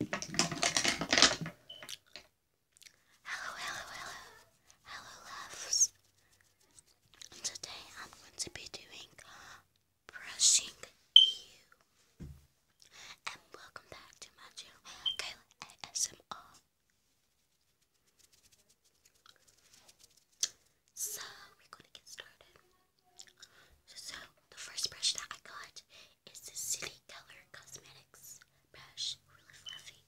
Hello, hello, hello. Hello, loves. Today I'm going to be doing uh, brushing you. And welcome back to my channel, Kayla ASMR. So, we're going to get started. So, the first brush that I got is this City Color Cosmetics brush. Really fluffy.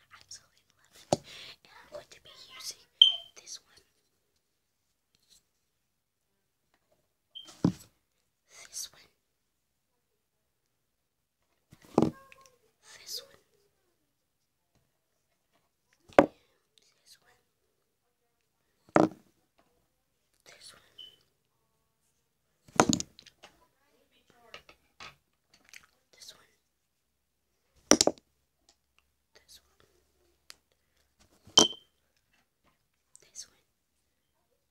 I absolutely love it. And I'm going to be using this one. This one. This one. Yeah, this one. This one. This one. This one. This one.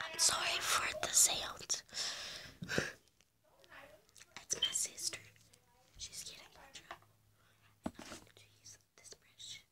I'm sorry for the sound. That's my sister. She's getting my trouble. I'm going to this brush.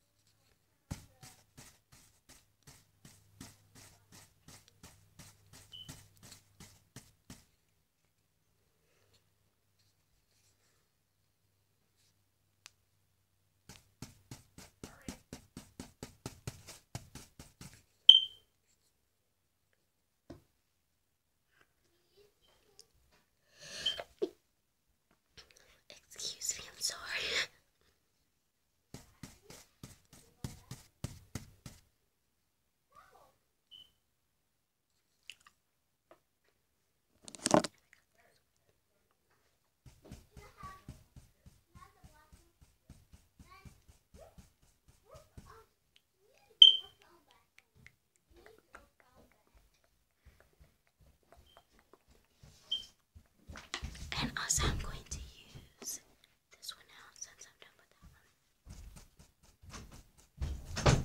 Excuse me, I'm sorry. And also, I'm going to use this one now since I'm done with that one.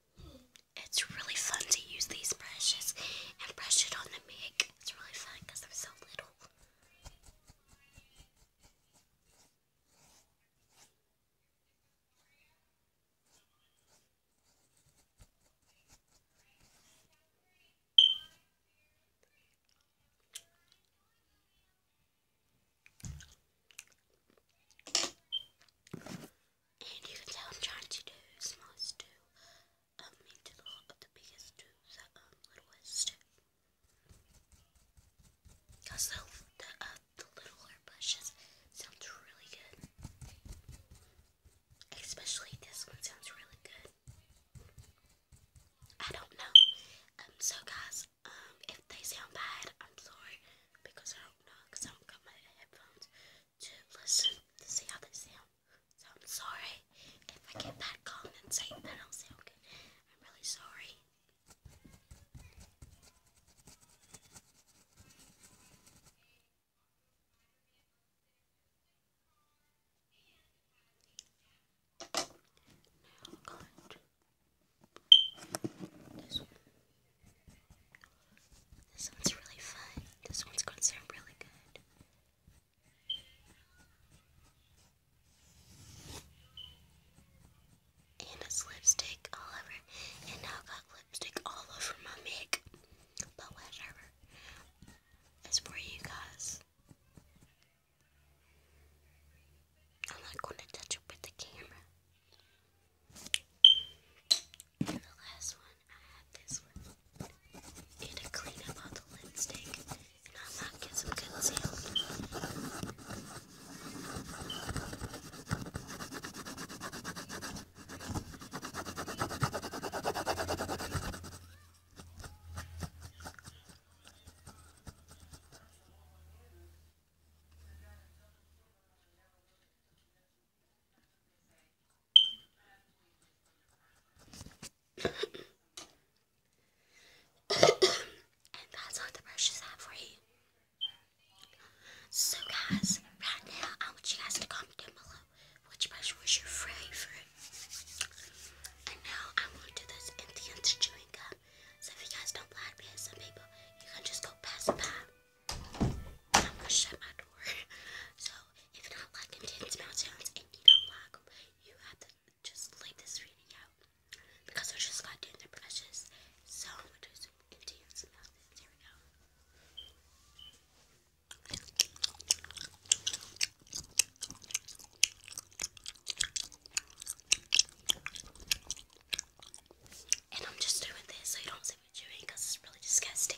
It's really fun to use these brushes and brush it on the mic. It's really fun because they're so little. And you can tell I'm trying to do smallest two, um, the, biggest two, the um, littlest two. Cause the, the, uh, the sounds really good. Especially this one sounds really good. I don't know. Um, so guys, um, if they sound bad, I'm sorry because I don't know, because I haven't got my headphones to listen to see how they sound. So I'm sorry if I get bad calling and say that I'll say okay. I'm really sorry. Now, this one's really fun. This one's going to sound really good. And it's lipstick all over. And I got lipstick all over my makeup. But whatever. It's for you guys. I'm not going to touch it with the camera. And the last one, I had this one. And to clean up all the lipstick and unlock it some concealer and that's all the brushes I have for you. So guys, right now I want you guys to comment below which brush was your favorite. And now I'm going to do this in the end chewing gum. So if you guys don't like me, some people, you can just go pass by. I'm gonna shut my door. so if you're not liking Tin's Mount Sounds and you don't like you have to just leave this video. Because I just got Tin's and Precious. So I'm going Sounds. Here we go. And I'm just doing this so you don't see me chewing because it's really disgusting.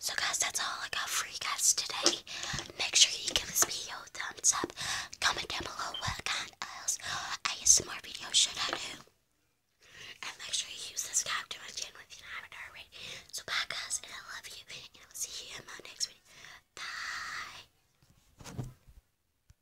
So guys, that's all I got for you guys today. Make sure you give this video a thumbs up. Comment down below what kind else ASMR video should I do. And make sure you subscribe to my channel if you haven't already. So bye guys, and I love you. And I'll see you in my next video. Bye.